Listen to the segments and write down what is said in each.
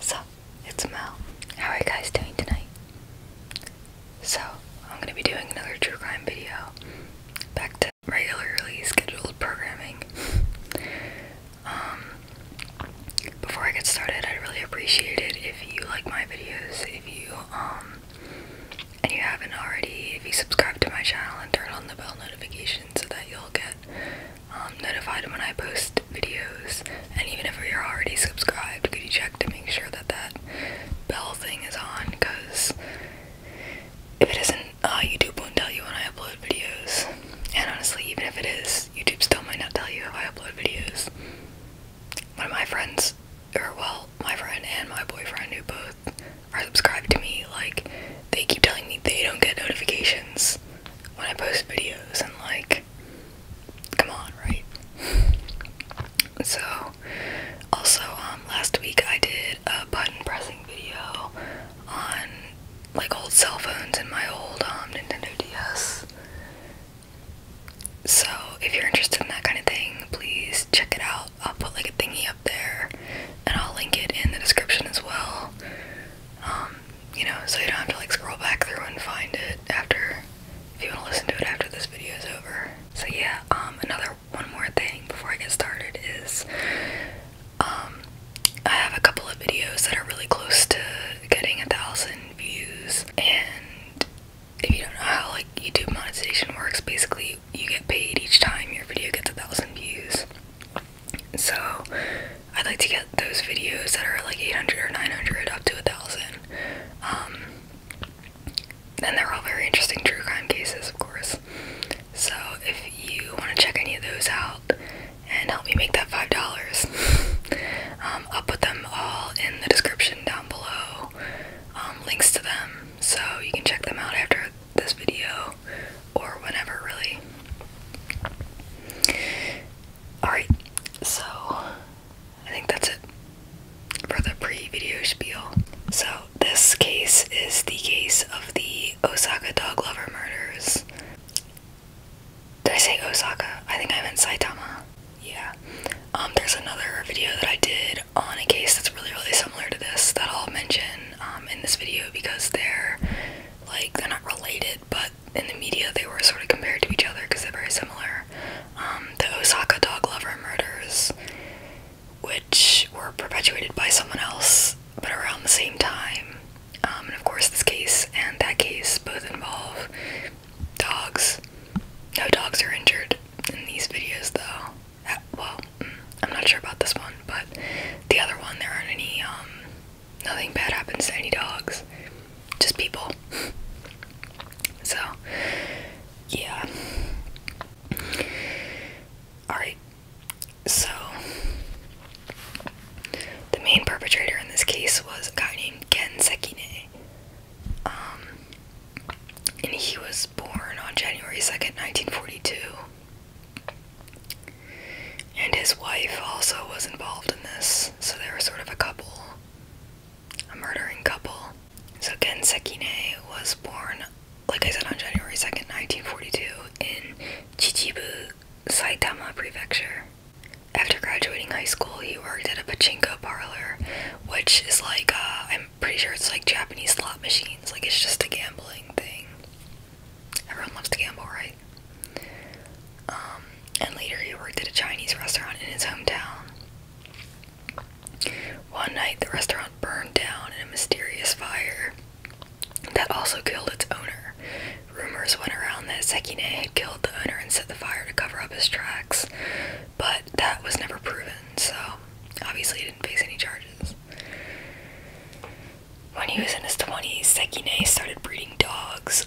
So, it's Mel. How are you guys doing tonight? So, I'm gonna be doing another true crime video. Back to regularly scheduled programming. um, before I get started, I'd really appreciate it if you like my videos, if you, um, and you haven't already, if you subscribe to my channel and turn on the bell notification so that you'll get um, notified when I post videos. And even if you're already subscribed, could you check to make sure that that bell thing is on? Because if it isn't, uh, YouTube won't tell you when I upload videos. And honestly, even if it is, YouTube still might not tell you if I upload videos. One of my friends, or well, my friend and my boyfriend, who both are subscribed to me, like, they keep telling me they don't get notifications when I post videos, and like, come on, right? So, also, um, last week I did a button pressing video on like old cell phones and my old um, Nintendo DS. So, if you're interested in that kind of thing, please check it out. I'll put like a thingy up there and I'll link it in the description as well. Um, you know, so you don't have to like scroll back through and find it after if you want to listen to it after this video is over. So yeah, um another one more thing before I get started is um I have a couple of videos that are really close to getting a thousand views and if you don't know how like YouTube monetization works, basically you get paid each time your video gets a thousand views. So I'd like to get those videos that are like 800 or 900 up to a thousand. Um, and they're all very interesting true crime cases, of course. So if you want to check any of those out and help me make that five dollars, um, I'll put them all in the description down below. Um, links to them, so you can check them out after this video or whenever, really. Alright, so I think that's it for the pre video spiel. So, this case is the case of the Osaka dog lover murders. Did I say Osaka? I think I meant Saitama. Yeah. Um, there's another video that I did on a case that's really, really similar to this that I'll mention um, in this video because they're like, they're not related, but in the media they were sort of compared to each other because they're very similar. Um, the Osaka dog lover murders, which were perpetuated by someone else but around the same time. Um, and of course, this case and that case both involve dogs. No dogs are injured in these videos, though. Uh, well, mm, I'm not sure about this one, but the other one, there aren't any um, nothing bad happens to any dogs, just people. so, yeah. Alright, so the main perpetrator in this case was a guy named Ken Sekine. Um, and he was born on January 2nd, 1942. And his wife also was involved in this, so they were sort of a couple, a murdering couple. So Ken Sekine was born, like I said, on January 2nd, 1942, in Chichibu, Saitama Prefecture. After graduating high school, he worked at a pachinko parlor, which is like, uh, I'm pretty sure it's like Japanese slot machines. Like, it's just a gambling thing. Everyone loves to gamble, right? Um, and later he worked at a Chinese restaurant in his hometown. One night, the restaurant burned down in a mysterious fire that also killed its owner. Rumors went around that Sekine had killed the owner and set the fire to cover up his tracks, but that was never proven, so obviously he didn't face any charges. When he was in his 20s, Sekine started breeding dogs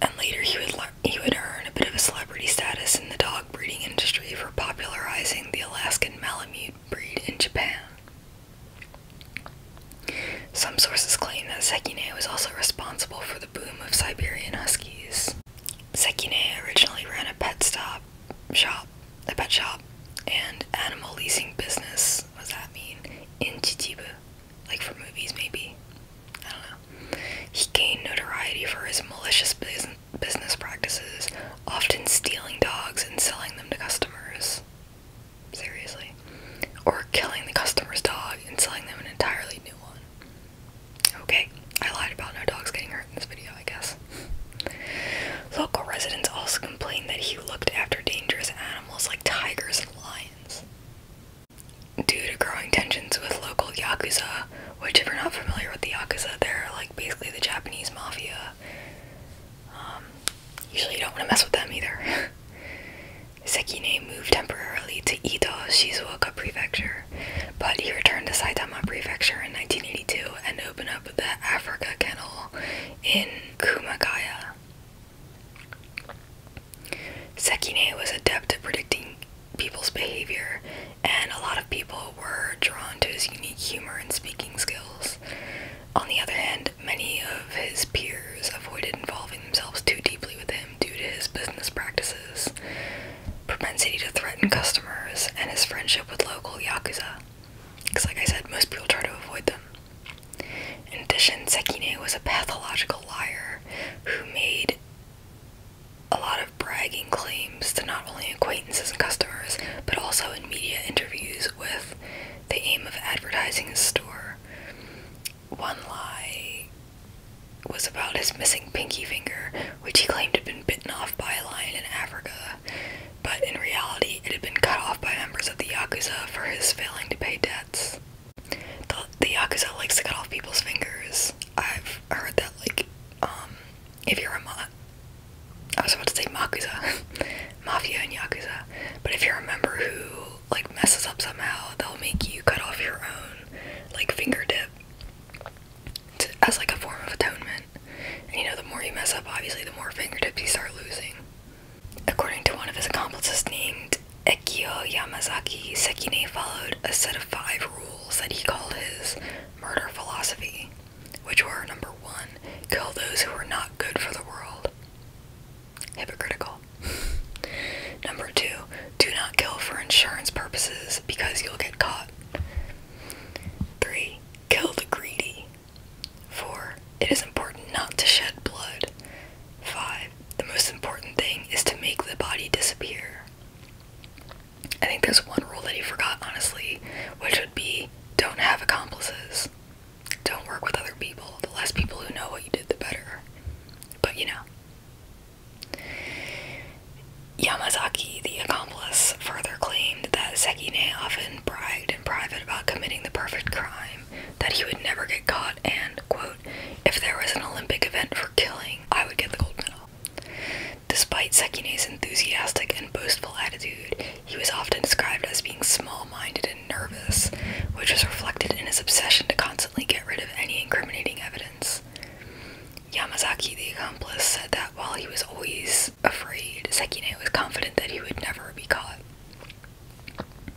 and later he would he would earn a bit of a celebrity status in the dog breeding industry for popularizing the Alaskan Malamute breed in Japan. Some sources claim that Sekine was also responsible for the boom of Siberian Huskies. Sekine originally ran a pet stop shop, a pet shop, and animal leasing business. What does that mean? In Chichibu, like for movies maybe. I don't know. He gained notoriety for his malicious business practices, often stealing dogs and selling them to customers. Seriously. Or killing the customer's dog and selling them an entirely new one. Okay, I lied about no dogs getting hurt in this video, I guess. Local residents also complained that he looked after dangerous animals like tigers and lions due to growing tensions with local yakuza, which if you're not familiar with the yakuza, they're like basically the Japanese mafia. Um, usually you don't want to mess with them either. Sekine moved temporarily to Ito, Shizuoka Prefecture, but he returned to Saitama Prefecture in 1982 and opened up the Africa Kennel in Kumagaya. Sekine was adept at predicting people's behavior, and a lot of people were drawn to his unique humor and speaking skills. On the other hand, many of his peers avoided involving themselves too deeply with him due to his business practices, propensity to threaten customers, and his friendship with local yakuza. Because, like I said, most people try to avoid them. In addition, Sekine was a pathological liar who made a lot of bragging claims to not only acquaintances and customers, but also in media interviews with the aim of advertising his store. One lie was about his missing pinky finger, which he claimed had been bitten off by a lion in Africa, but in reality, it had been cut off by members of the Yakuza for his failing to pay debts. The, the Yakuza likes to cut off people's fingers. I've heard that, like, um, if you're a ma- I was about to say Makuza, Mafia and Yakuza, but if you're a member who, like, messes up somehow, they'll make you cut off your own, like, finger to, as, like, a form of atonement. you know, the more you mess up, obviously, the more fingertips you start losing. According to one of his accomplices named Ekiyo Yamazaki, Sekine followed a set of five rules that he called his murder philosophy, which were number one, kill those who are not good for the world. Hypocritical. number two, do not kill for insurance purposes because you'll get caught. Three, kill the greedy. Four, it is important not to shed blood. Five, the most important thing is to make the body disappear. I think there's one rule that he forgot, honestly, which would be don't have accomplices. Don't work with other people. The less people who know what you did, the better. But you know. Yamazaki, the accomplice, further claimed that Sekine often bragged in private about committing the perfect crime, that he would never get caught, and, quote, if there was an Olympic event for killing, I would get the gold medal. Despite Sekine's enthusiastic and boastful attitude, he was often described as being small minded and nervous, which was reflected in his obsession to constantly get rid of any incriminating evidence. Yamazaki, the accomplice, said that while he was always afraid, Sekine was confident that he would never be caught.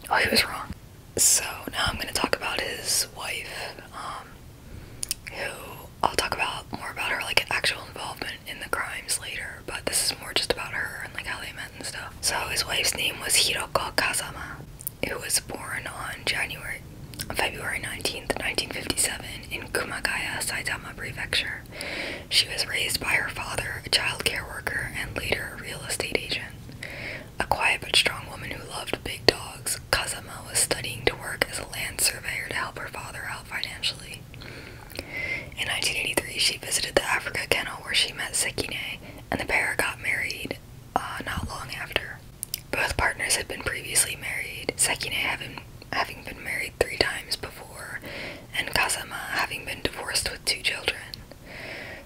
Oh, he was wrong. So now I'm gonna talk about his wife, um, who I'll talk about more about her like actual involvement in the crimes later, but this is more just about her and like how they met and stuff. So his wife's name was Hiroko Kazama, who was born on January February 19th, 1957 in Kumagaya, Saitama Prefecture. She was raised by her father, a child care worker, and later a real estate agent. A quiet but strong woman who loved big dogs, Kazama was studying to work as a land surveyor to help her father out financially. In 1983, she visited the Africa Kennel where she met Sekine, and the pair got married uh, not long after. Both partners had been previously married, Sekine having, having been married three times before, and Kazama having been divorced with two children.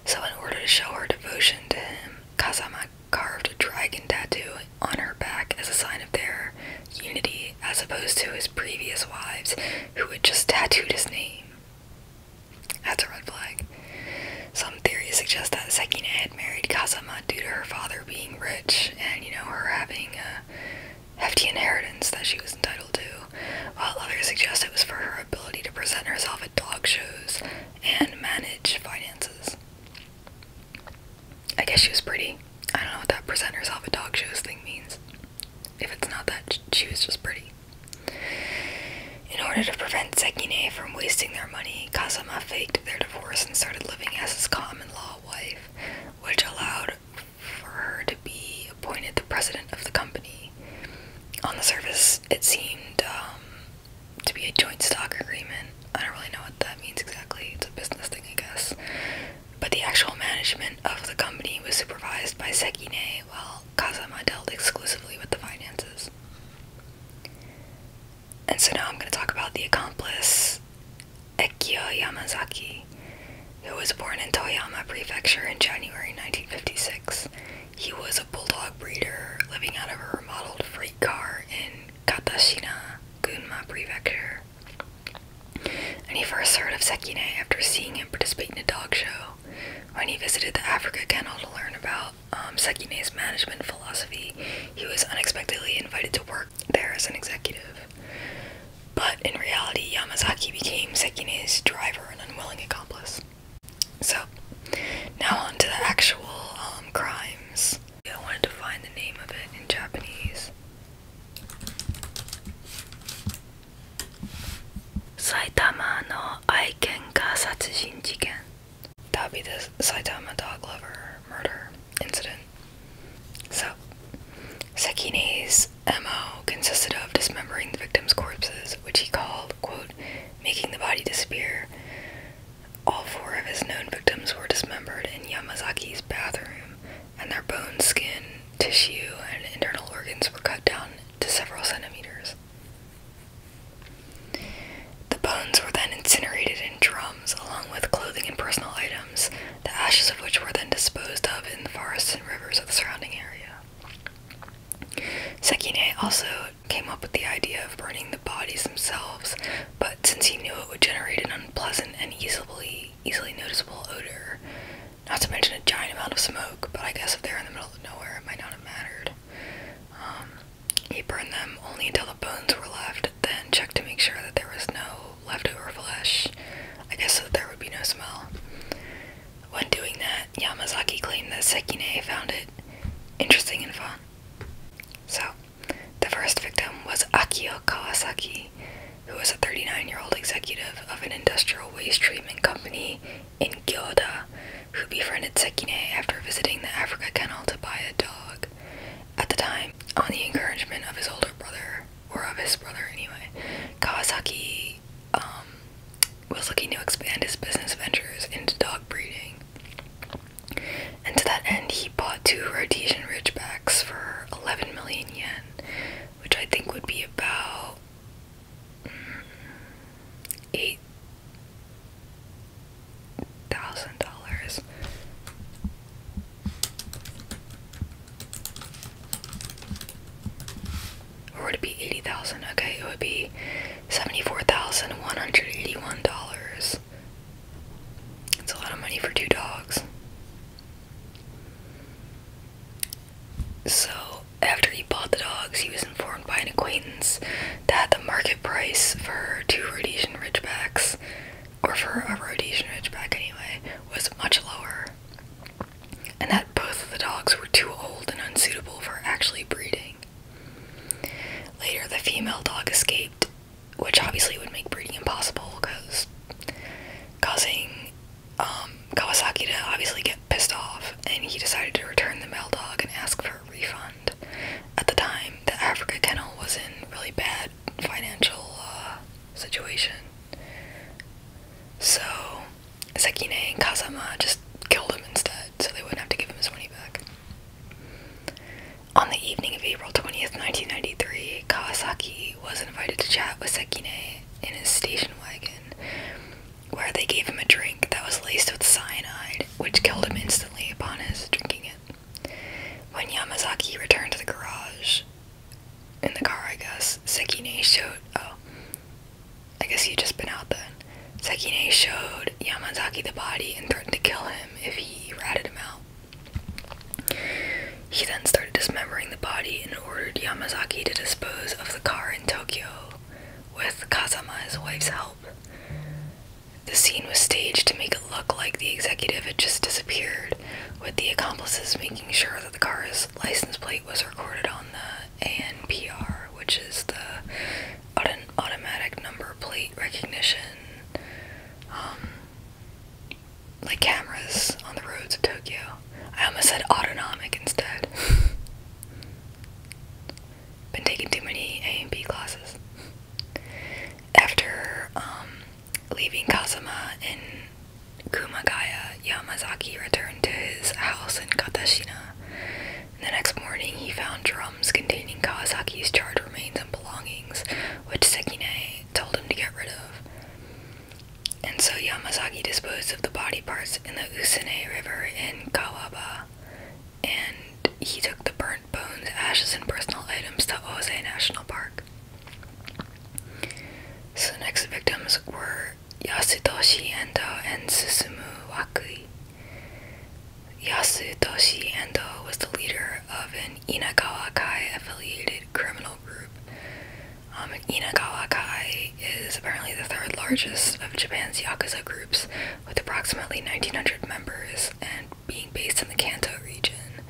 So, in order to show her devotion to him, Kazama carved a dragon tattoo on her back as a sign of their unity, as opposed to his previous wives, who had just tattooed his name. That's a red flag. Some theories suggest that Sakina had married Kazama due to her father being rich and, you know, her having a hefty inheritance that she was entitled to while others suggest it was for her ability to present herself at dog shows and manage finances. I guess she was pretty. I don't know what that present herself at dog shows thing means. If it's not that, she was just pretty. In order to prevent Sekine from wasting their money, Kazama faked their divorce and started living as his common law wife, which allowed for her to be appointed the president of the company. On the surface, it seemed um, to be a joint stock agreement. I don't really know what that means exactly. It's a business thing, I guess. But the actual management of the company was supervised by Sekine, while Kazama dealt exclusively with the finances. And so now I'm going to talk about the accomplice, Ekio Yamazaki, who was born in Toyama Prefecture in January 1956 he was a bulldog breeder living out of a remodeled freight car in Katashina, Gunma Prefecture. And he first heard of Sekine after seeing him participate in a dog show. When he visited the Africa Kennel to learn about um, Sekine's management philosophy, he was unexpectedly invited to work there as an executive. But in reality, Yamazaki became Sekine's driver and unwilling accomplice. So, now on to the actual um, crimes. I wanted to find the name of it in Japanese. Saitama no Aiken Satsujin Jiken. That would be the Saitama dog lover murder incident. So, Sekine's MO consisted of dismembering the victim's corpses which he called, quote, making the body disappear. All four of his known victims were dismembered in Yamazaki's bathroom, and their bones, skin, tissue, and internal organs were cut down to several centimeters. The bones were then incinerated in drums along with clothing and personal items, the ashes of which were then disposed of in the forests and rivers of the surrounding area. Sekine also came up with the idea of burning the bodies themselves, but since he knew it would generate an unpleasant and easily easily noticeable odor, not to mention a giant amount of smoke, but I guess if they're in the middle of nowhere, it might not have mattered. Um, he burned them only until the bones were left, then checked to make sure that there was no leftover flesh, I guess so there would be no smell. When doing that, Yamazaki claimed that Sekine found it interesting and fun. So, the first victim was Akio Kawasaki, who was a 39 year old executive of an industrial waste treatment company in Gyoda, who befriended Sekine after visiting the Africa Kennel to buy a dog. At the time, on the encouragement of his older brother, or of his brother anyway, Kawasaki um, was looking to expand his business ventures into dog breeding. And to that end, he bought two Rhodesian Ridgebacks for 11 million yen, which I think would be about mm, eight thousand dollars or would it be eighty thousand? Okay, it would be seventy-four thousand one hundred eighty-one dollars. It's a lot of money for two dogs. So after he bought the dogs, he was informed by an acquaintance that the market price for two Rhodesian Ridgebacks, or for a Rhodesian Ridgeback anyway, was much lower, and that both of the dogs were too old and unsuitable for actually breeding. Later, the female dog escaped, which obviously would make breeding impossible because causing um, Kawasaki to obviously get pissed off, and he decided to return the male dog and ask for a refund. At the time, the Africa kennel was in really bad financial uh, situation, so Sekine and Kazama just killed him instead, so they wouldn't have to give him his money back. On the evening of April 20th, 1993, Kawasaki was invited to chat with Sekine in his station wagon, where they gave him a drink that was laced with cyanide, which killed him instantly upon his drinking it. When Yamazaki returned to the garage, in the car, I guess, Sekine showed. Oh, I guess he'd just been out then. Sekine showed Yamazaki the body and threatened to kill him if he ratted him out. He then started dismembering the body and ordered Yamazaki to dispose of the car in Tokyo with Kazama's wife's help. The scene was staged to make it look like the executive had just disappeared, with the accomplices making sure that the car's license plate was recorded on the ANPR, which is the automatic number plate recognition, um, like cameras on the roads of Tokyo. I almost said autonomic instead. Been taking too many A and B classes. After um, leaving Kazuma in Kumagaya, Yamazaki returned to his house in Katashina. The next morning, he found drums containing Kawasaki's charred remains and belongings, which Sekine told him to get rid of. And so Yamazaki disposed of the body parts in the Usune River in Kawaba, and he took the burnt bones, ashes, and personal items to Ose National Park. So the next victims were Yasutoshi Endo and Susumu Waku. Yasutoshi Endo was the leader of an Inagawa Kai affiliated criminal group. Inagawa Kai is apparently the third largest of Japan's Yakuza groups, with approximately 1,900 members and being based in the Kanto region.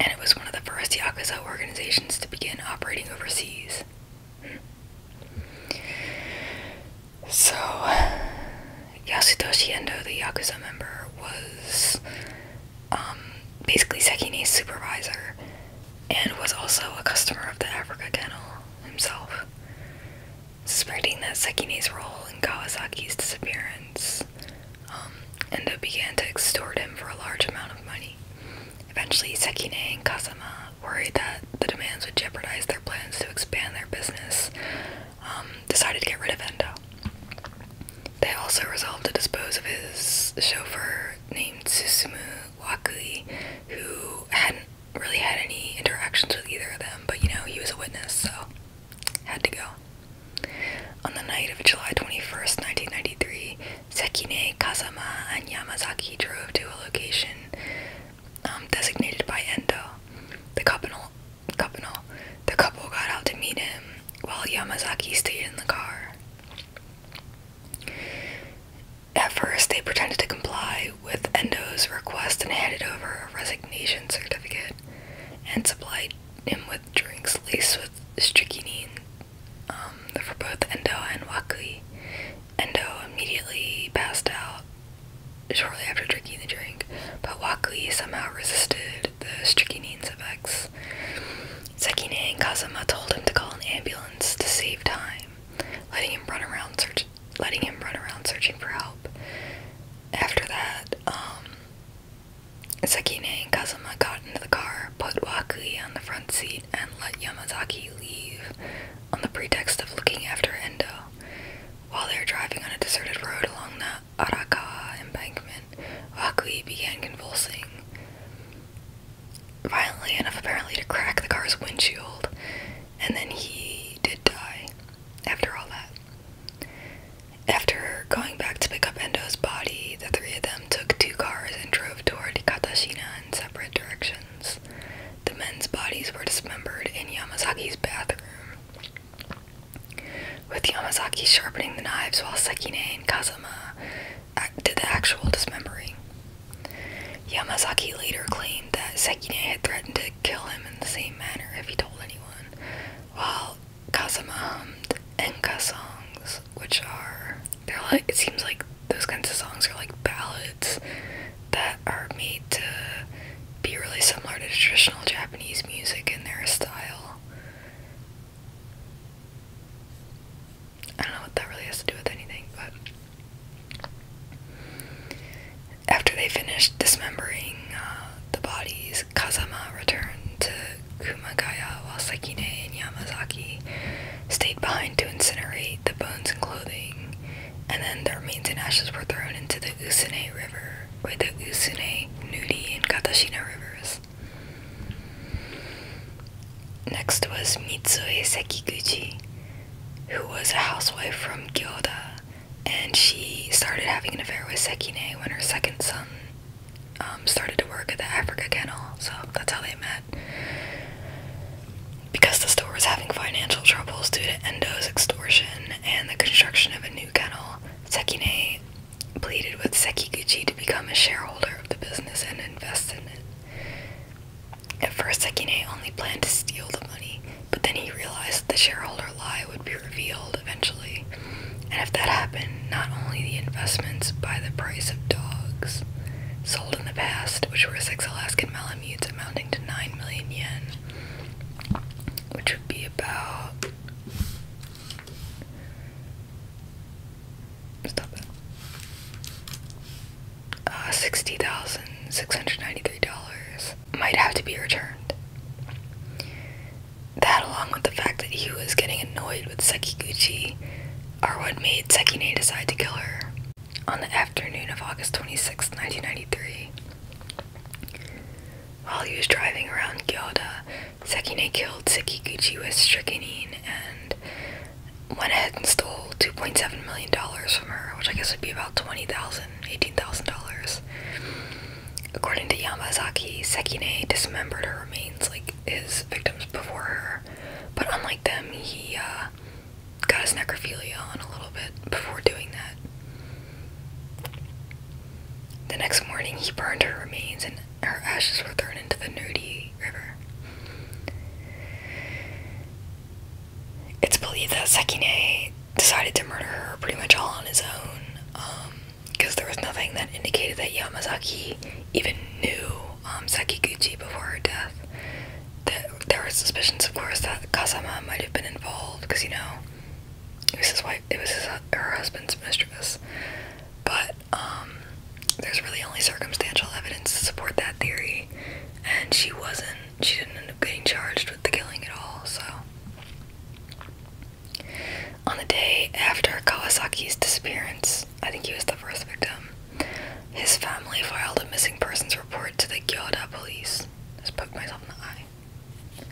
And it was one of the first Yakuza organizations to begin operating overseas. So, Yasutoshi Endo, the Yakuza member, was um, basically Sekine's supervisor and was also a customer of the Africa Kennel himself. Suspecting that Sekine's role in Kawasaki's disappearance, um, Endo began to extort him for a large amount of money, Eventually, Sekine and Kazama worried that the demands would jeopardize their plans to expand their business, um, decided to get rid of Endo. They also resolved to dispose of his chauffeur named Susumu Wakui, who hadn't really had any interactions with either of them, but you know, he was a witness, so had to go. On the night of July 21st, 1993, Sekine, Kazama, and Yamazaki drove to a location um, designated by Endo. The couple, the couple got out to meet him while Yamazaki stayed in the car. At first, they pretended to comply with Endo's request and handed over a resignation certificate and supplied him with drinks laced with strychnine um, for both Endo and Wakui. Endo immediately passed out shortly after drinking the drink, but Wakui somehow resisted the stricanine's effects. Sekine and Kazuma told him to call an ambulance to save time, letting him run around search letting him run around searching for help. After that, Sekine and Kazuma got into the car, put Wakui on the front seat, and let Yamazaki leave on the pretext of looking after Endo. While they were driving on a deserted road along the Arakawa embankment, Akui began convulsing violently enough apparently to crack the car's windshield, and then he did die after all that. After going back to pick up Endo's body, the three of them took two cars and drove toward Katashina in separate directions. The men's bodies were dismembered in Yamazaki's bathroom. With Yamazaki sharpening the knives while Sekine and Kazama did the actual dismembering. Yamazaki later claimed that Sekine had threatened to kill him in the same manner if he told anyone, while Kazama hummed Enka songs, which are, they're like, it seems like those kinds of songs are like ballads that are made to be really similar to traditional Japanese music in their style. I don't know what that really has to do with anything, but after they finished dismembering uh, the bodies, Kazama returned to Kumagaya while Sekine and Yamazaki stayed behind to incinerate the bones and clothing and then their remains and ashes were thrown into the Usune River, or the Usune, Nudi and Katashina rivers. Next was Mitsue Sekiguchi, who was a housewife from Gyoda, and she started having an affair with Sekine when her second son um, started to work at the Africa Kennel, so that's how they met because the store was having financial troubles due to Endo's extortion and the construction of a new kennel, Sekine pleaded with Sekiguchi to become a shareholder of the business and invest in it. At first, Sekine only planned to steal the money, but then he realized the shareholder lie would be revealed eventually, and if that happened, not only the investments by the price of dogs sold in the past, which were six Alaskan Malinois amounting um, to 9 million yen, which would be about. Stop uh, $60,693 might have to be returned. That, along with the fact that he was getting annoyed with Sekiguchi, are what made Sekine decide to kill her. On the afternoon of August 26, 1993, while he was driving around Gyoda, Sekine killed Sekiguchi with strychnine and went ahead and stole $2.7 million from her, which I guess would be about $20,000, $18,000. According to Yamazaki, Sekine dismembered her remains like his victims before her, but unlike them, he uh, got his necrophilia on a little bit before doing that. The next morning, he burned her remains, and her ashes were thrown into the Nudi River. It's believed that Sekine decided to murder her pretty much all on his own, because um, there was nothing that indicated that Yamazaki even knew um, Sekiguchi before her death there, there were suspicions, of course, that Kazama might have been involved because you know it was his wife, it was her husband's mistress. But um, there's really only circumstantial evidence to support that theory, and she wasn't. She didn't end up getting charged with the killing at all. So, on the day after Kawasaki's disappearance, I think he was the first victim. His family filed a missing persons report to the Gyoda police. Just poked myself in the eye.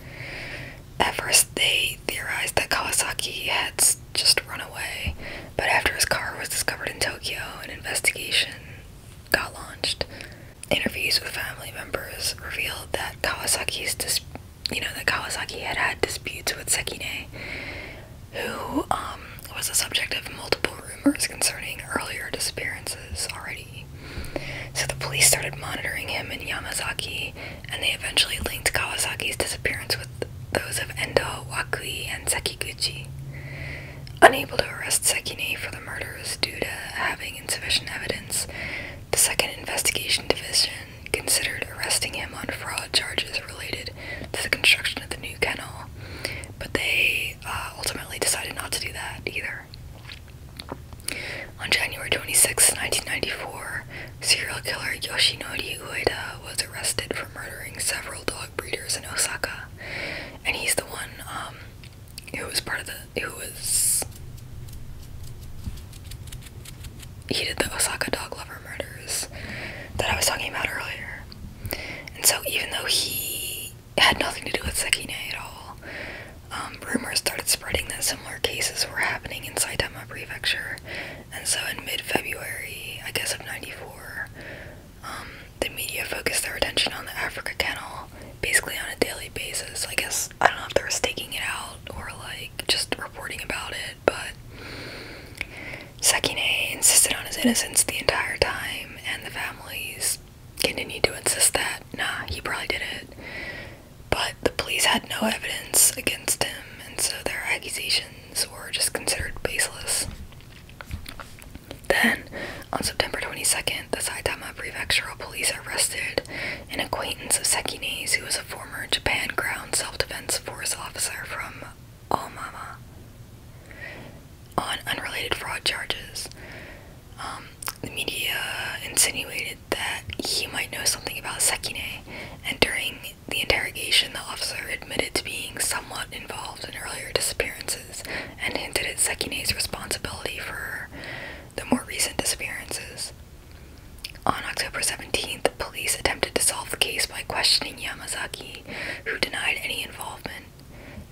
At first, they theorized that Kawasaki had just run away, but after his car was discovered in Tokyo, an investigation got launched. Interviews with family members revealed that Kawasaki's you know that Kawasaki had had disputes with Sekine, who um was a subject of multiple rumors concerning earlier disappearances already. So the police started monitoring him in Yamazaki, and they eventually linked Kawasaki's disappearance with those of Endo, Wakui, and Sekiguchi. Unable to arrest Sekine for the murders due to having insufficient evidence, the Second Investigation Division considered arresting him on fraud charges related to the construction of the new kennel, but they uh, ultimately decided not to do that either. On January 26, 1994, serial killer Yoshinori Ueda was arrested for murdering several dog breeders in Osaka, and he's the one um, who was part of the who was he did the Osaka dog lover murders that I was talking about earlier. And so, even though he it had nothing to do with Sekine at all. Um, rumors started spreading that similar cases were happening in Saitama Prefecture, and so in mid February, I guess of 94, um, the media focused their attention on the Africa Kennel basically on a daily basis. I guess I don't know if they were staking it out or like just reporting about it, but Sekine insisted on his innocence the entire time and the families continued to insist that nah he probably did it but the police had no evidence against him and so their accusations were just considered baseless then on september 22nd the saitama prefectural police arrested an acquaintance of Sekine's who was a former japan ground self-defense force officer from Oh Mama on unrelated fraud charges. Um, the media insinuated that he might know something about Sekine, and during the interrogation, the officer admitted to being somewhat involved in earlier disappearances and hinted at Sekine's responsibility for the more recent disappearances. On October 17th, police attempted to solve the case by questioning Yamazaki, who denied any involvement.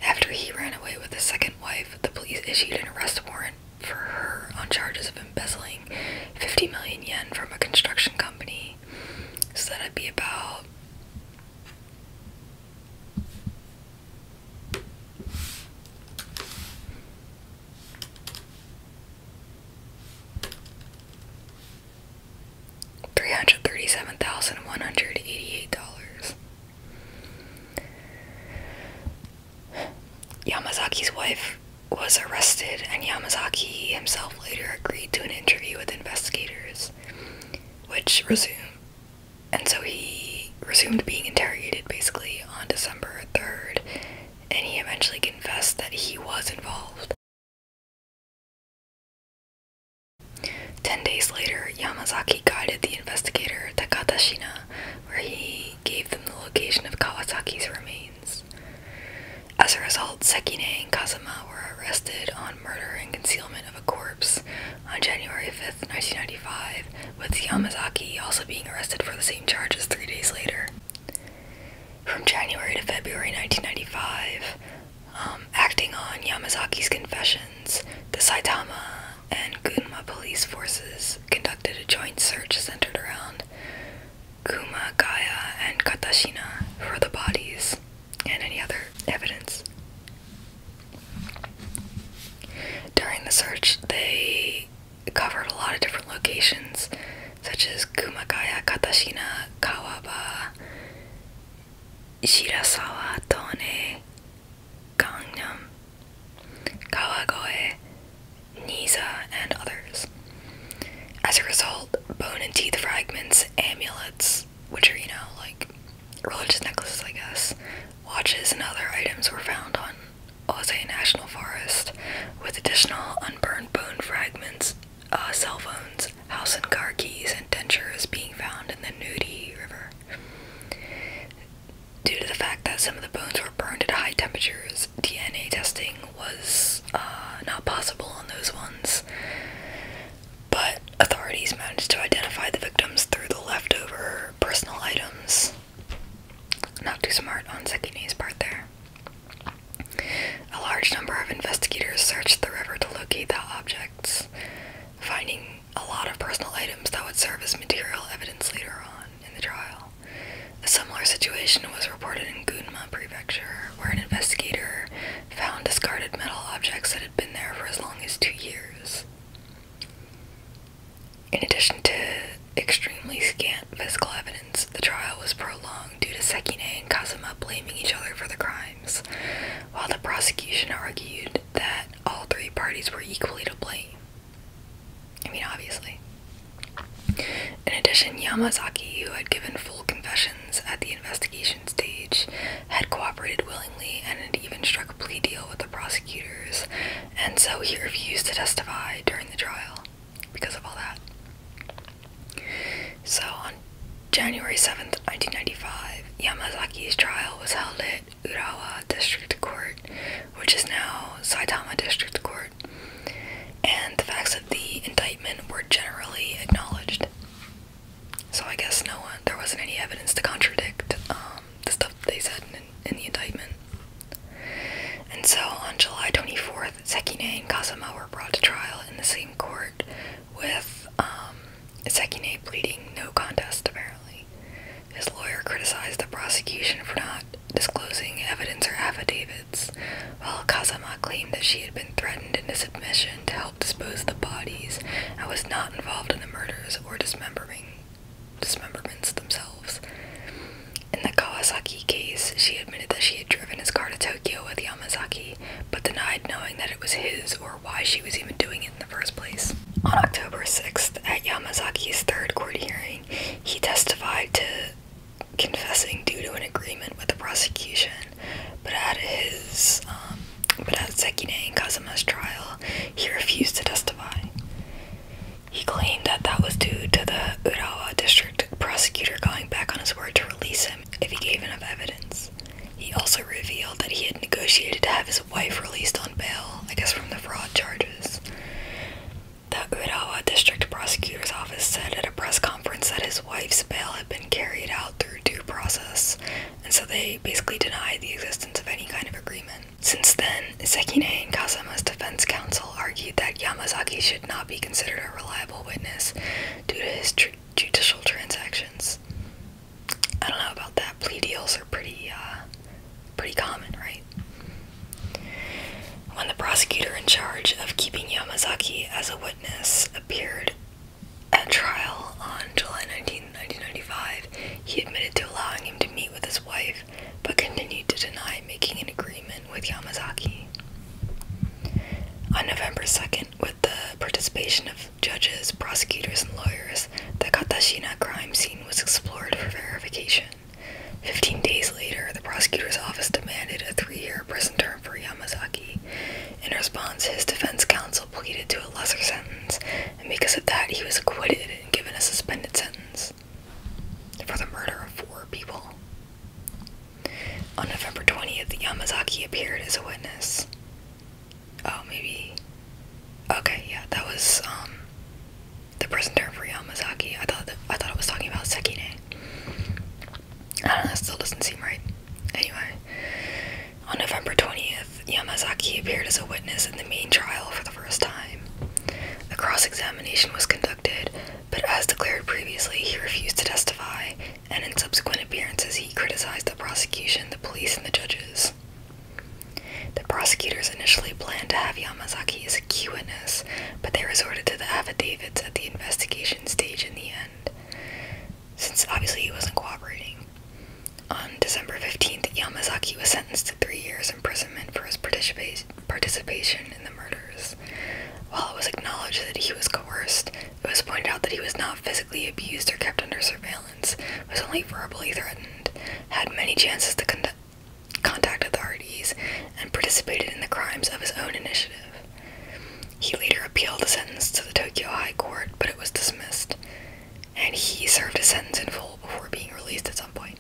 After he ran away with his second wife, the police issued an arrest warrant for her on charges of embezzling 50 million yen from a construction company. So that'd be about. $337,188. Yamazaki's wife was arrested, and Yamazaki himself later agreed to an interview with investigators, which resumed. And so he resumed being interrogated basically on December 3rd, and he eventually confessed that he was involved. Ten days later, Yamazaki guided the investigator Takata Shina, where he gave them the location of Kawasaki's remains. As a result, Sekine and Kazama were arrested on murder and concealment of a corpse on January 5, 1995, with Yamazaki also being arrested for the same charges three days later. From January to February 1995, um, acting on Yamazaki's confessions, the Saitama and Gunma police forces conducted a joint search centered around Kumagaya and Katashina for the bodies and any other evidence. During the search, they covered a lot of different locations, such as Kumagaya, Katashina, Kawaba, Shirasawa Tone Gangnam Kawagoe Niza and others. As a result, bone and teeth fragments, amulets, which are, you know, like religious necklaces, I guess, watches, and other items were found on Ose National Forest, with additional unburned bone fragments, uh, cell phones, house and car keys and dentures being found in the Nudi River. Due to the fact that some of the bones were burned at high temperatures, DNA testing was uh, not possible on those ones, but authorities managed to identify the victims through the leftover personal items. Not too smart on Sekine's part there. A large number of investigators searched the river to locate the objects finding a lot of personal items that would serve as material evidence later on in the trial. A similar situation was reported in Gunma Prefecture, where an investigator found discarded metal objects that had been there for as long as two years. In addition to extremely scant physical evidence, the trial was prolonged due to Sekine and Kazuma blaming each other for the crime while the prosecution argued that all three parties were equally to blame. I mean, obviously. In addition, Yamazaki, who had given full confessions at the investigation stage, had cooperated willingly and had even struck a plea deal with the prosecutors, and so he refused to testify during the trial because of all that. So on January 7th, 1995, Yamazaki's trial was held at Urawa District Court, which is now Saitama District Court, and the facts of the indictment were generally acknowledged. So I guess no one, there wasn't any evidence to contradict um, the stuff they said in, the indictment. And so on July 24th, Sekine and Kazuma were brought to trial in the same court with um, Second, Sekine pleading no contest, apparently. His lawyer criticized the prosecution for not disclosing evidence or affidavits, while Kazama claimed that she had been threatened into submission to help dispose of the bodies and was not involved in the murders or dismemberments themselves. In the Kawasaki case, she admitted that she had driven his car to Tokyo with Yamazaki, but denied knowing that it was his or why she was even doing it in the first place. On October 6th, at Yamazaki's third court hearing, he testified to confessing due to an agreement with the prosecution, but at his um, but at Sekine and Kazuma's trial, he refused to testify. He claimed that that was due to the Urawa district prosecutor going back on his word to release him if he gave enough evidence. He also revealed that he had negotiated to have his wife released on bail, I guess from the fraud charges. The Urawa District Prosecutor's Office said at a press conference that his wife's bail had been carried out through due process, and so they basically denied the existence of any kind of agreement. Since then, Sekine and Kazama's defense counsel argued that Yamazaki should not be considered a reliable witness due to his judicial transactions. I don't know about that. Plea deals are pretty, uh, pretty common, right? When the prosecutor in charge of keeping Yamazaki as a witness appeared at trial on July 19, 1995, he admitted to allowing him to meet with his wife, but continued to deny making an agreement with Yamazaki. On November 2nd, with the participation of judges, prosecutors, and lawyers, the Katashina crime scene was explored for verification. Fifteen days later, the prosecutor's office demanded a three year prison term for Yamazaki. In response, his defense counsel pleaded to a lesser sentence, and because of that, he was acquitted and given a suspended sentence for the murder of four people. On November 20th, Yamazaki appeared as a witness oh maybe okay yeah that was um the prison term for Yamazaki I thought I thought it was talking about Sekine I don't know that still doesn't seem right anyway on November 20th Yamazaki appeared as a witness in the main trial for the first time a cross-examination was conducted but as declared previously he refused to testify and in subsequent appearances he criticized the prosecution, the police, and the judges. The prosecutors initially planned to have Yamazaki as a witness, but they resorted to the affidavits at the investigation stage in the end, since obviously he wasn't cooperating. On December 15th, Yamazaki was sentenced to three years imprisonment for his participation in the murders. While it was acknowledged that he was coerced, it was pointed out that he was not physically abused or kept under surveillance, was only verbally threatened, had many chances to contact authorities, and participated in the crimes of his own initiative. He later appealed the sentence to the Tokyo High Court, but it was dismissed, and he served his sentence in full before being released at some point.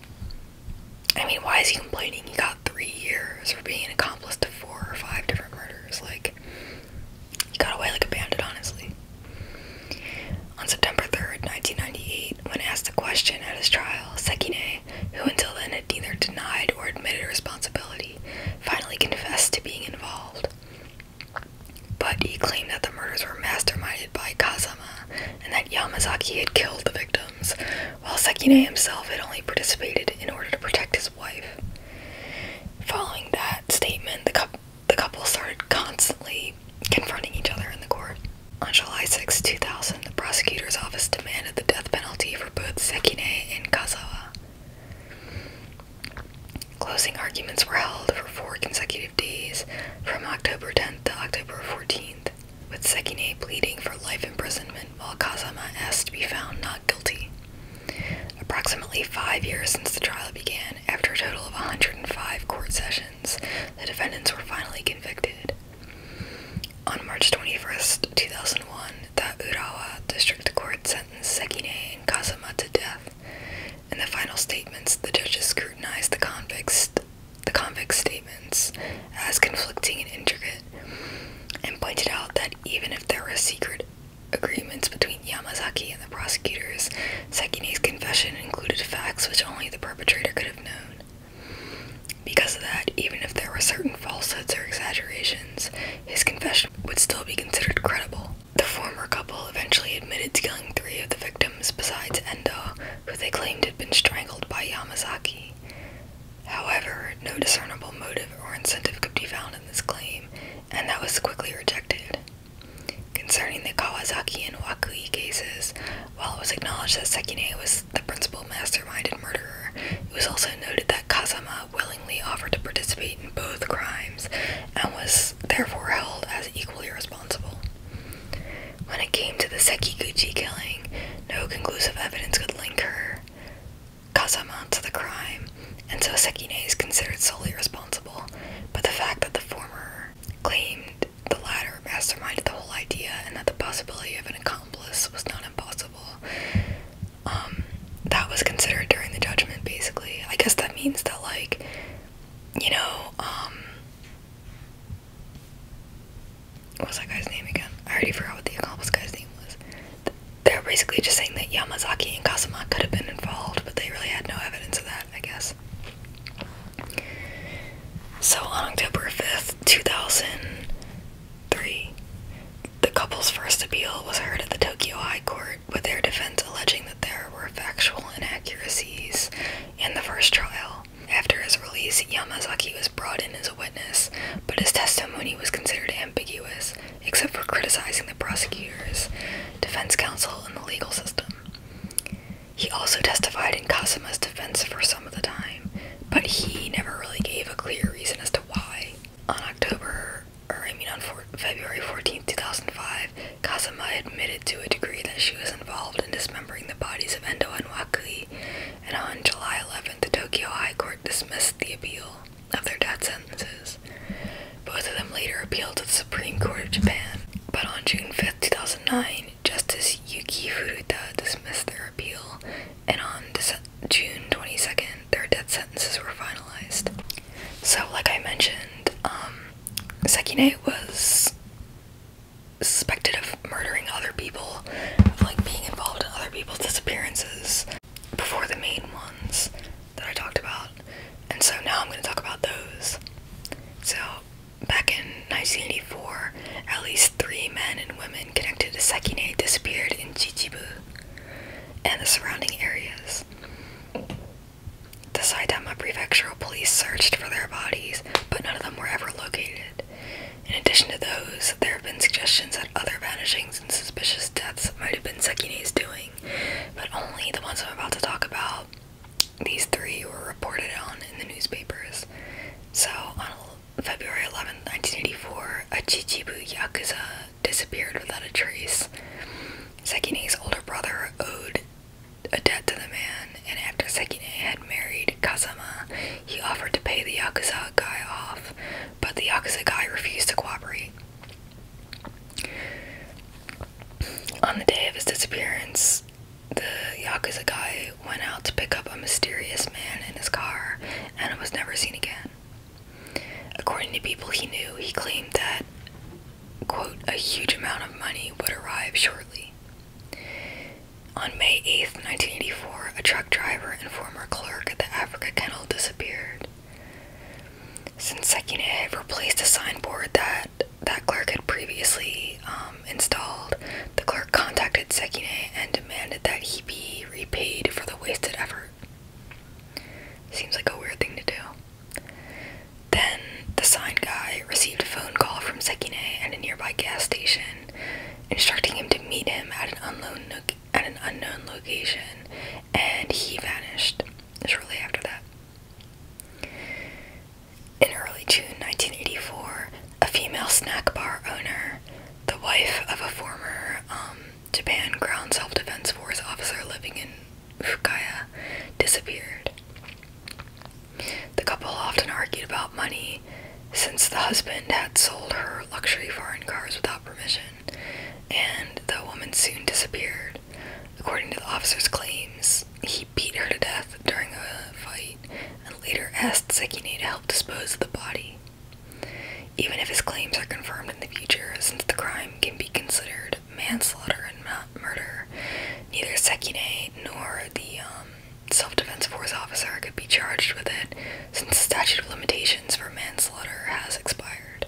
I mean, why is he complaining? He got three years for being an accomplice to four or five different murders. Like, he got away like a bandit, honestly. On September 3rd, 1998, when asked a question at his trial, Sekine, who until then had neither denied or admitted responsibility, finally confessed to being involved. But he claimed that the murders were masterminded by Kazama and that Yamazaki had killed the victims, while Sekine himself had only participated in order to protect his wife. Following that statement, the, the couple started constantly confronting each other in the court. On July 6, 2000, the prosecutor's office demanded the death penalty for both Sekine and Kazawa. Closing arguments were held for four consecutive days, from October 10th to October 14th, with Sekine pleading for life imprisonment while Kazama asked to be found not guilty. Approximately five years since the trial began, after a total of 105 court sessions, the defendants were finally convicted. On March 21st, 2001, the Urawa District Court sentenced Sekine and Kazama to death. In the final statements, the judges scrutinized the convicts, the convicts' statements as conflicting and intricate, and pointed out that even if there were secret agreements between Yamazaki and the prosecutors, Sekine's confession included facts which only the perpetrator could have known. Because of that, even if there were certain falsehoods or exaggerations, his confession would still be considered credible. The former couple eventually admitted to killing three of the victims besides Endo, who they claimed had been strangled by Yamazaki. However, no discernible motive or incentive could be found in this claim, and that was quickly rejected. Concerning the Kawasaki and Wakui cases, while it was acknowledged that Sekine was the principal mastermind and murderer, it was also noted that Kazama willingly offered to participate in both crimes and was therefore held as equally responsible. When it came to the Sekiguchi killing, no conclusive evidence could link her Kazama to the crime, and so Sekine is considered solely responsible, but the fact that the former claimed the latter masterminded the whole idea and that the possibility of an accomplice was not impossible. Um, that was considered during the judgment basically. I guess that means that like, you know, um that guy's name again? I already forgot what the accomplice guy's name was. They're basically just saying that Yamazaki and Kasama could have been involved but they really had no evidence of that, I guess. So on October 5th, 2003, the couple's first appeal was heard at the Tokyo High Court, with their defense alleging that there were factual inaccuracies in the first trial. After his release, Yamazaki was brought in as a witness, but his testimony was considered ambiguous, except for criticizing the prosecutors, defense counsel, and the legal system. He also testified in Kasama's defense for some of the time, but he never really gave a clear reason as to why. On October, or I mean on February 14, 2005, Kasama admitted to a degree that she was involved in dismembering the bodies of Endo and Wakui, and on July 11th, the Tokyo High Court dismissed the appeal of their death sentences. Both of them later appealed to the Supreme Court of Japan, but on June fifth, two 2009, Justice Yuki Furuta dismissed their appeal, and on June 22nd, their death sentences were finalized. So, like I mentioned, um, Sekine was suspected of murdering other people, like being involved in other people's disappearances before the main ones that I talked about, and so now I'm going to talk about those. So, back in 1984, at least three men and women connected to Sekine disappeared in Chichibu and the surrounding areas. The Saitama Prefectural Police searched for their bodies, but none of them were ever located. In addition to those, there have been suggestions that other vanishings and suspicious deaths might have been Sekine's doing but only the ones I'm about to talk about. These three were reported on in the newspapers. So, on February 11, 1984, a Chichibu Yakuza disappeared without a trace. Sekine's older brother owed a debt to the man, and after Sekine had married Kazama, he offered to pay the Yakuza guy off, but the Yakuza guy refused to cooperate. On the day of his disappearance, the Yakuza went out to pick up a mysterious man in his car and was never seen again. According to people he knew, he claimed that, quote, a huge amount of money would arrive shortly. On May eighth, nineteen 1984, a truck driver and former clerk at the Africa Kennel disappeared. Since Sekine had replaced a signboard that that clerk had previously um, installed, the clerk contacted Sekine and demanded that he be repaid for the wasted effort. Seems like a weird thing to do. Then the sign guy received a phone call from Sekine at a nearby gas station, instructing him to meet him at an unknown at an unknown location, and he vanished shortly after that. In early June 1984, a female snack bar owner, the wife of a former um, Japan Ground Self Defense Force officer living in Fukaya, disappeared. The couple often argued about money since the husband had sold her luxury foreign cars without permission, and the woman soon disappeared. According to the officer's claims, he beat her to death during a fight and later asked Sekine to help dispose of the body. Even if his claims are confirmed in the future, since the crime can be considered manslaughter and not murder, neither Sekine nor the um, self-defense force officer could be charged with it, since the statute of limitations for manslaughter has expired.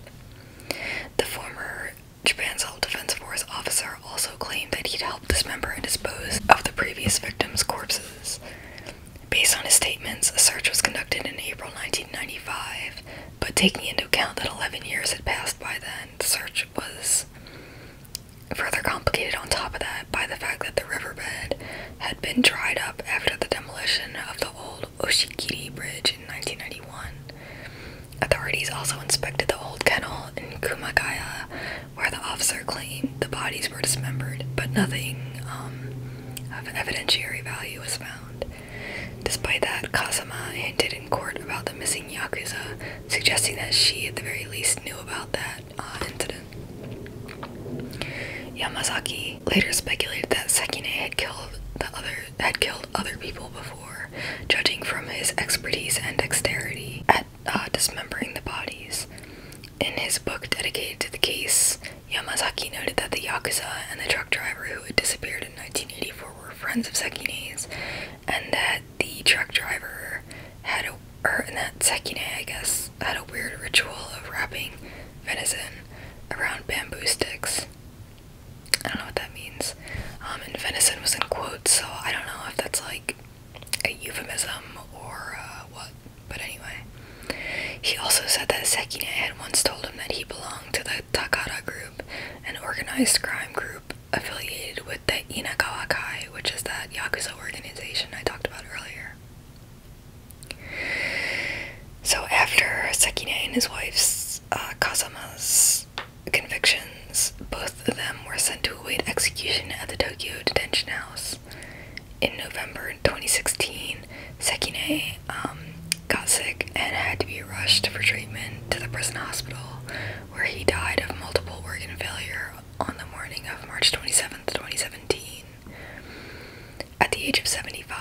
The former Japan's Civil Defense Force officer also claimed that he'd help dismember and dispose of the previous victims' corpses. Based on his statements, a search was conducted in April 1995, but taking into account that 11 years had passed by then, the search was further complicated on top of that by the fact that the riverbed had been dried up after the demolition of the old old Oshikiri Bridge in 1991. Authorities also inspected the old kennel in Kumagaya, where the officer claimed the bodies were dismembered, but nothing um, of evidentiary value was found. Despite that, Kasama hinted in court about the missing Yakuza, suggesting that she at the very least knew about that uh, incident. Yamazaki later speculated that Sekine had killed other had killed other people judging from his expertise and dexterity at uh, dismembering the bodies. In his book dedicated to the case, Yamazaki noted that the Yakuza and the truck driver who had disappeared in 1984 were friends of Sekine's, and that the truck driver had a, or that Sekine, I guess, had a weird ritual of wrapping venison around bamboo sticks. I don't know what that means. Um, and venison was in quotes, so I don't know if that's like a euphemism or uh, what. But anyway, he also said that Sekine had once told him that he belonged to the Takada group, an organized crime group affiliated with the Inagawa Kai, which is that Yakuza organization I talked about earlier. So after Sekine and his wife's as uh, Kazama's convictions, both of them were sent to await execution at the Tokyo Detention House. In November 2016, Sekine um, got sick and had to be rushed for treatment to the prison hospital, where he died of multiple organ failure on the morning of March 27, 2017, at the age of 75.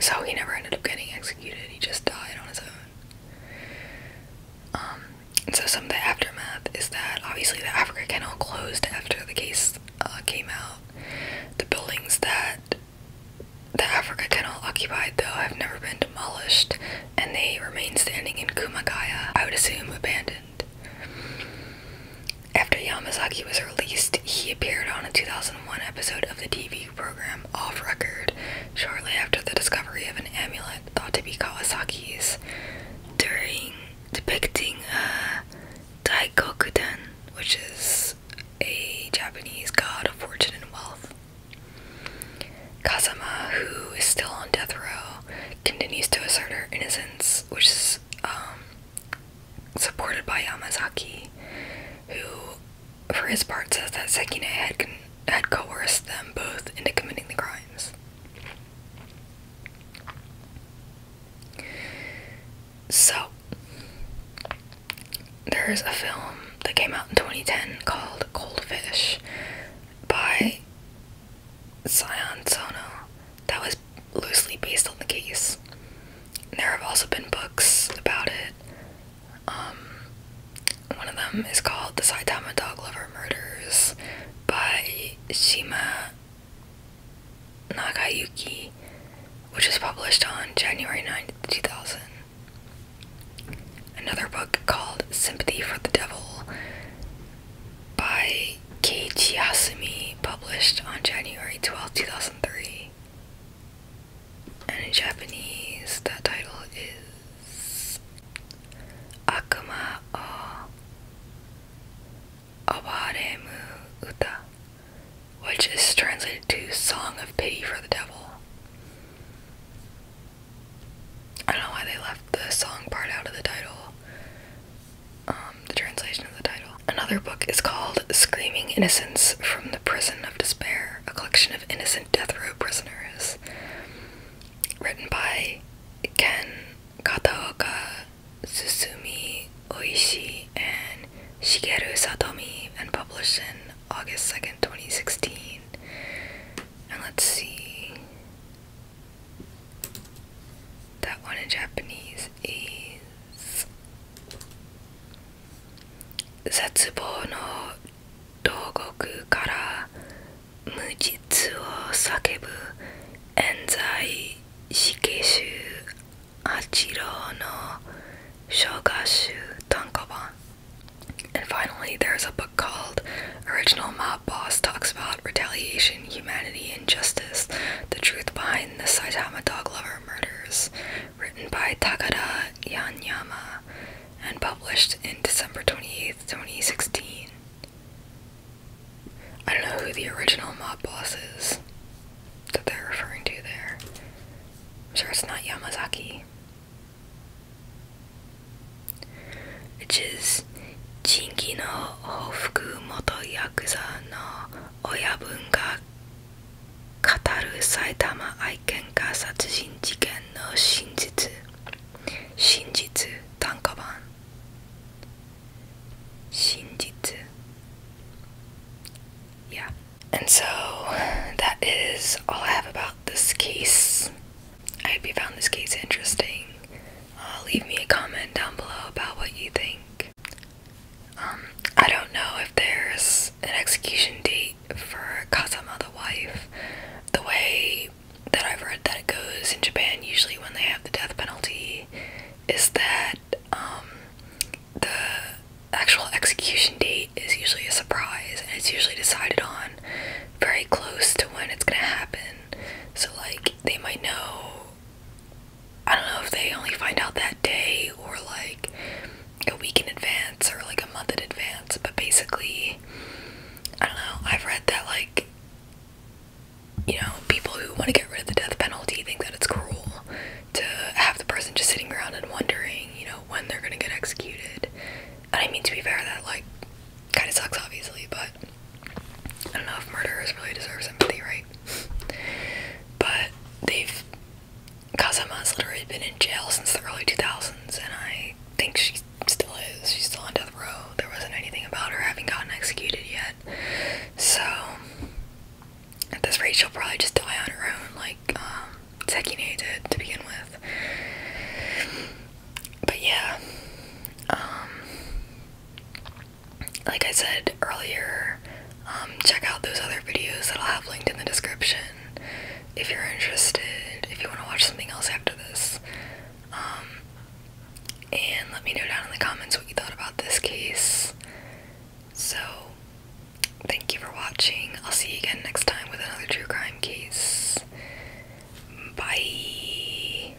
So he never ended up getting executed, he just died on his own. Um, and so some of the aftermath is that obviously the Africa Canal closed after the case uh, came out. The buildings that the Africa Canal occupied, though, have never been demolished, and they remain standing in Kumagaya, I would assume abandoned. After Yamazaki was released, he appeared on a 2001 episode of the TV program Off Record shortly after the discovery of an amulet thought to be Kawasaki's. During depicting a uh, Daikokuden, which is a Japanese god of fortune and wealth. Kazama, who is still on death row, continues to assert her innocence, which is um, supported by Yamazaki, who, for his part, says that Sekine had, had coerced them both into committing the crimes. So, there's a film that came out in 2010 called Cold Fish by Sion Sono that was loosely based on the case. There have also been books about it. Um, one of them is called The Saitama Dog Lover Murders by Shima Nagayuki, which was published on January 9, 2000. Another book called Sympathy for the Devil by Keiichi Hasumi, published on January 12, 2000. And in Japanese, that title is Akuma a Awaremu Uta, which is translated to Song of Pity for the Devil. I don't know why they left the song part out of the title. Um, the translation of the title. Another book is called Screaming Innocence from the Prison of Despair, a collection of innocent death row prisoners, written by Ken Kataoka, Susumi Oishi, and Shigeru Satomi, and published in August 2nd, 2016. And let's see. That one in Japanese is 絶望の牢獄から無実を叫ぶ冤罪死刑囚八郎の生姜集単行版 And finally, there's a book called Original Mob Boss Talks About Retaliation, Humanity, and Justice The Truth Behind the Saitama Dog Lover Murders, written by Takada Yanyama and published in December 28, 2016. I don't know who the original mob boss is that they're referring to there. I'm sure it's not Yamazaki. Which is Chinki no Hofuku Moto Yakuza no Oyabun ga 語る埼玉愛犬家殺人事件の真実真実短歌版真実 and so that is all I have about this case I hope you found this case interesting uh, leave me a comment down below about what you think um, I don't know if there's an execution date for Kazama the Wife. The way that I've read that it goes in Japan, usually when they have the death penalty, is that um, the actual execution date is usually a surprise, and it's usually decided on very close to when it's gonna happen. So, like, they might know I don't know if they only find out that day or like a week in advance or like a month in advance, but basically, I don't know. I've read that like you know, people who want to get rid of the death penalty think that it's cruel to have the person just sitting around and wondering, you know, when they're gonna get executed. And I mean, to be fair, that like kind of sucks, obviously, but I don't know if murderers really deserve sympathy, right? but they've Kazama's literally been in jail since the early 2000s, and I think she still is. She's still on death row. There wasn't anything about her having gotten executed yet. So, at this rate, she'll probably just die on her own, like um, Sekine did to begin with. But yeah, um, like I said earlier, um, check out those other videos that I'll have linked in the description if you're interested, if you want to watch something else after this. Um, and let me know down in the comments what you thought about this case. So, thank you for watching. I'll see you again next time with another true crime case. Bye.